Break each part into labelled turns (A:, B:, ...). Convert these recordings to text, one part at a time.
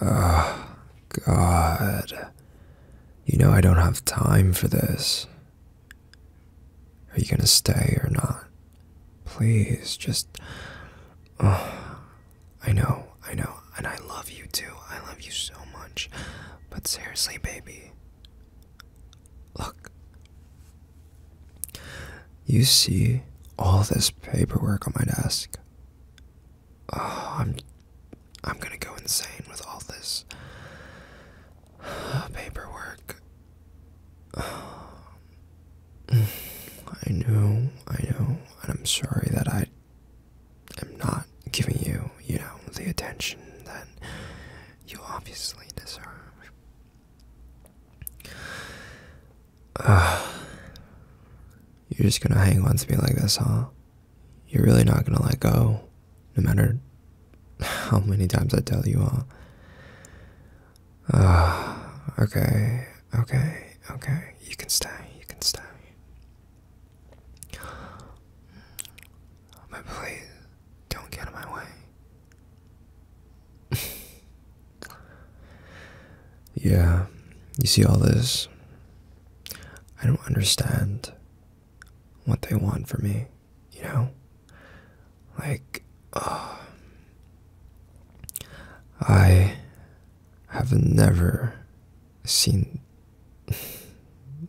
A: Oh, God. You know I don't have time for this. Are you gonna stay or not? Please, just. Oh, I know, I know, and I love you too. I love you so much. But seriously, baby. Look. You see all this paperwork on my desk? Oh, I'm I'm gonna go insane with all this paperwork. I know, I know, and I'm sorry that I am not giving you, you know, the attention that you obviously deserve you're just gonna hang on to me like this, huh? You're really not gonna let go, no matter how many times I tell you, huh? okay, okay, okay. You can stay, you can stay. But please, don't get in my way. Yeah, you see all this? I don't understand what they want for me, you know? Like, uh, I have never seen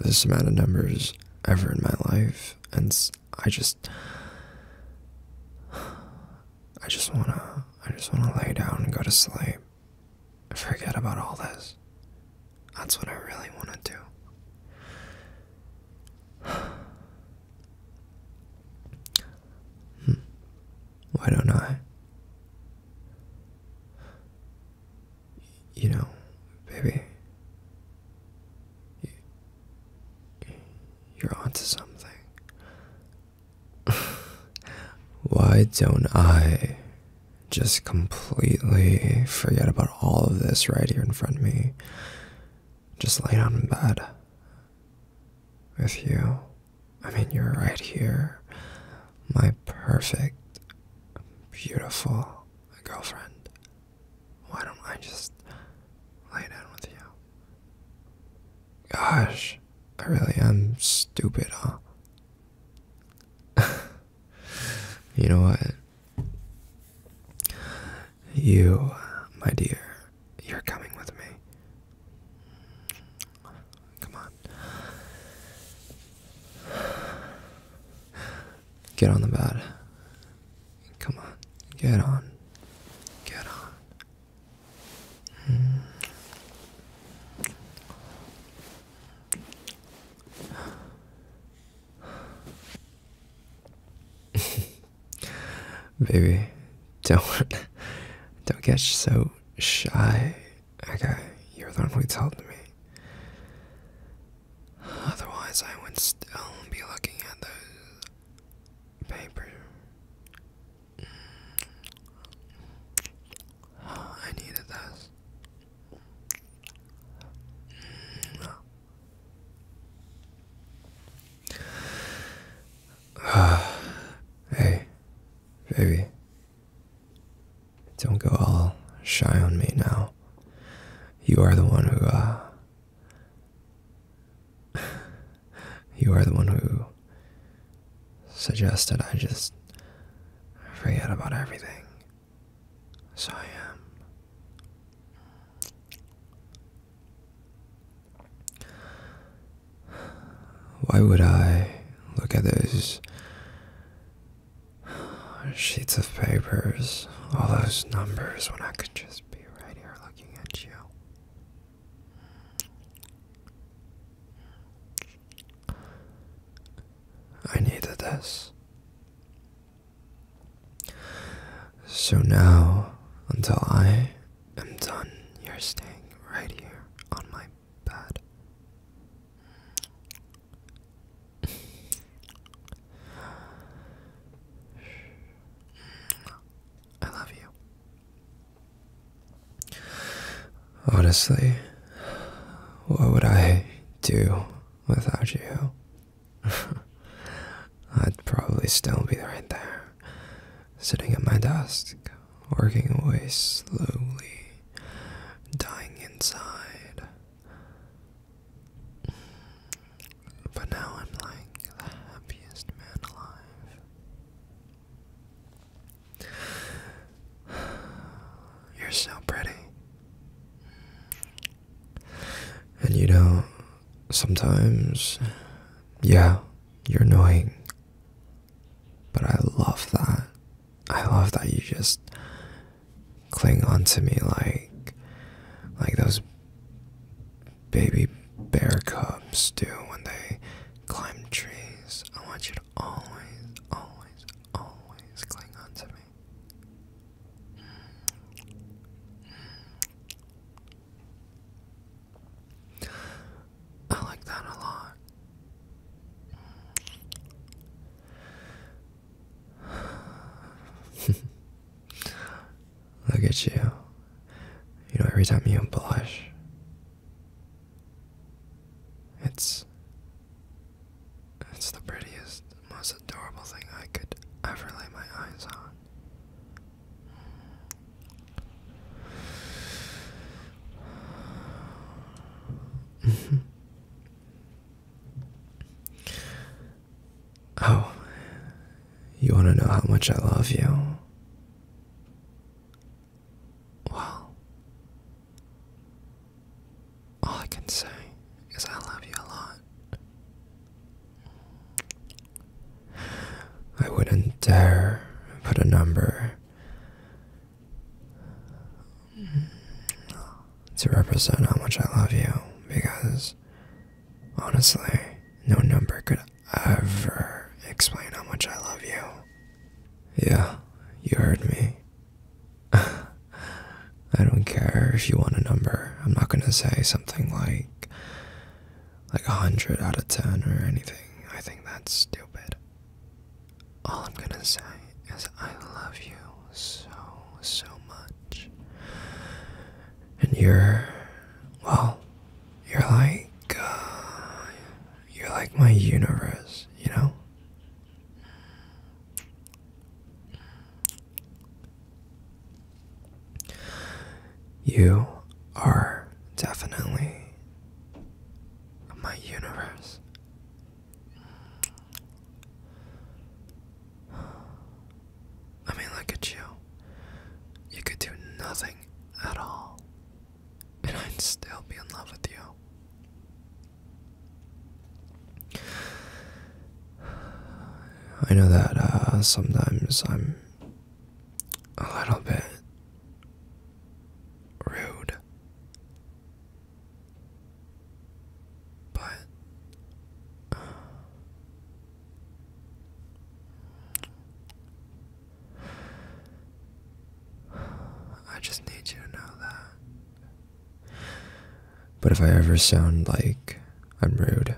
A: this amount of numbers ever in my life, and I just. I just wanna I just wanna lay down and go to sleep. Forget about all this. That's what I really wanna do. Hmm. Why don't I? You know, baby, you're onto something. Why don't I just completely forget about all of this right here in front of me? Just lay down in bed with you. I mean, you're right here. My perfect, beautiful girlfriend. Why don't I just lay down with you? Gosh, I really am stupid, huh? you know what? You, my dear, you're coming with me. Come on. Get on the bed. Come on. Get on. Get on. Mm. Baby, don't don't get so shy. Okay, you're the one me. Otherwise, I would still be looking at those paper I needed this. hey, baby. Don't go all shy on me now. You are the one who, uh, you are the one who suggested I just forget about everything. So I am. Why would I look at those sheets of papers, all those numbers, when I could just be right here looking at you? I needed this. So now, until I am done, you're staying right here on my bed. I love you. Honestly, what would I do without you? I'd probably still be right there, sitting at my desk, working away slowly, dying inside. But now I'm like the happiest man alive. You're so pretty. And you know, sometimes, yeah, you're annoying. But I love that. I love that you just cling onto me like like those baby bear cubs do when they climb trees. I want you to always, always, always cling on to me. I like that a lot. Look at you. You know, every time you blush, it's it's the prettiest, most adorable thing I could ever lay my eyes on. oh, you want to know how much I love you? Well, all I can say is I love you a lot. I wouldn't dare put a number to represent how much I love you because honestly, no number could ever explain how much I love you. Yeah, you heard me. I don't care if you want a number. I'm not gonna say something like like a hundred out of ten or anything. I think that's stupid. All I'm gonna say is I love you so so much. And you're well, you're like uh, you're like my universe, you know? You are definitely my universe. I mean, look at you. You could do nothing at all and I'd still be in love with you. I know that uh, sometimes I'm a little bit rude, but uh, I just need you to know that. But if I ever sound like I'm rude,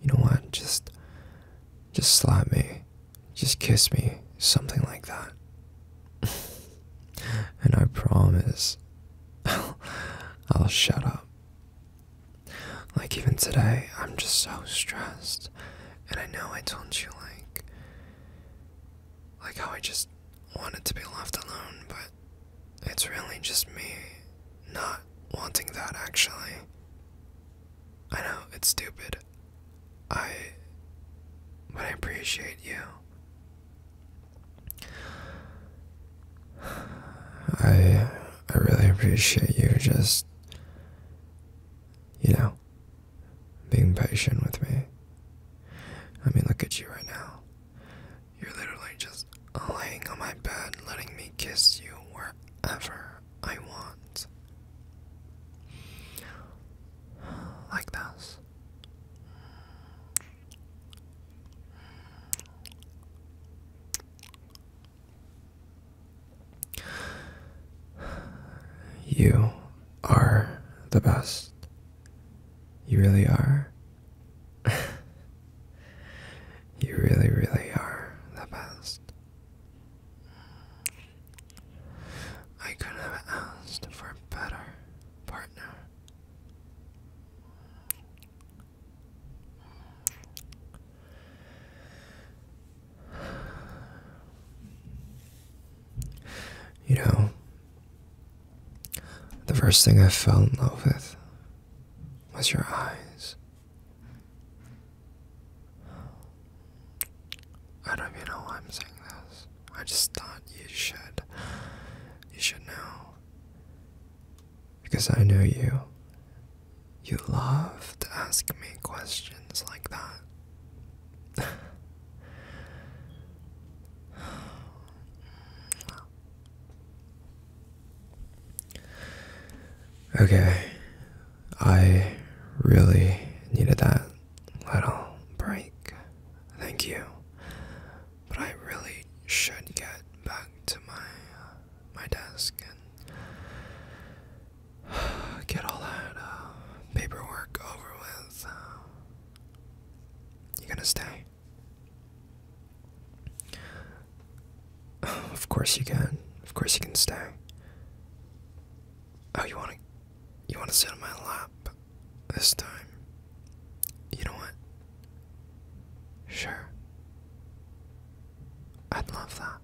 A: you know what? Just just slap me. Just kiss me. Something like that. and I promise I'll, shut up. Like even today, I'm just so stressed. And I know I told you like like how I just wanted to be left alone, but it's really just me not wanting that actually. I know it's stupid. I but I appreciate you. I I really appreciate you just you know being patient with me. I mean, look at you right now. You're literally just laying on my bed, letting me kiss you wherever I want. Like this. You are the best. You really are. you really, really are the best. I could have asked for a better partner. You know, the first thing I fell in love with was your eyes. I don't even know I'm saying this. I just thought you should. You should know. Because I know you. You love to ask me questions like that okay, I really needed that little break. Thank you. But I really should get back to my my desk get all that uh, paperwork over with. Uh, you gonna stay? of course you can. Of course you can stay. Oh, you wanna, you wanna sit on my lap this time? You know what? Sure. I'd love that.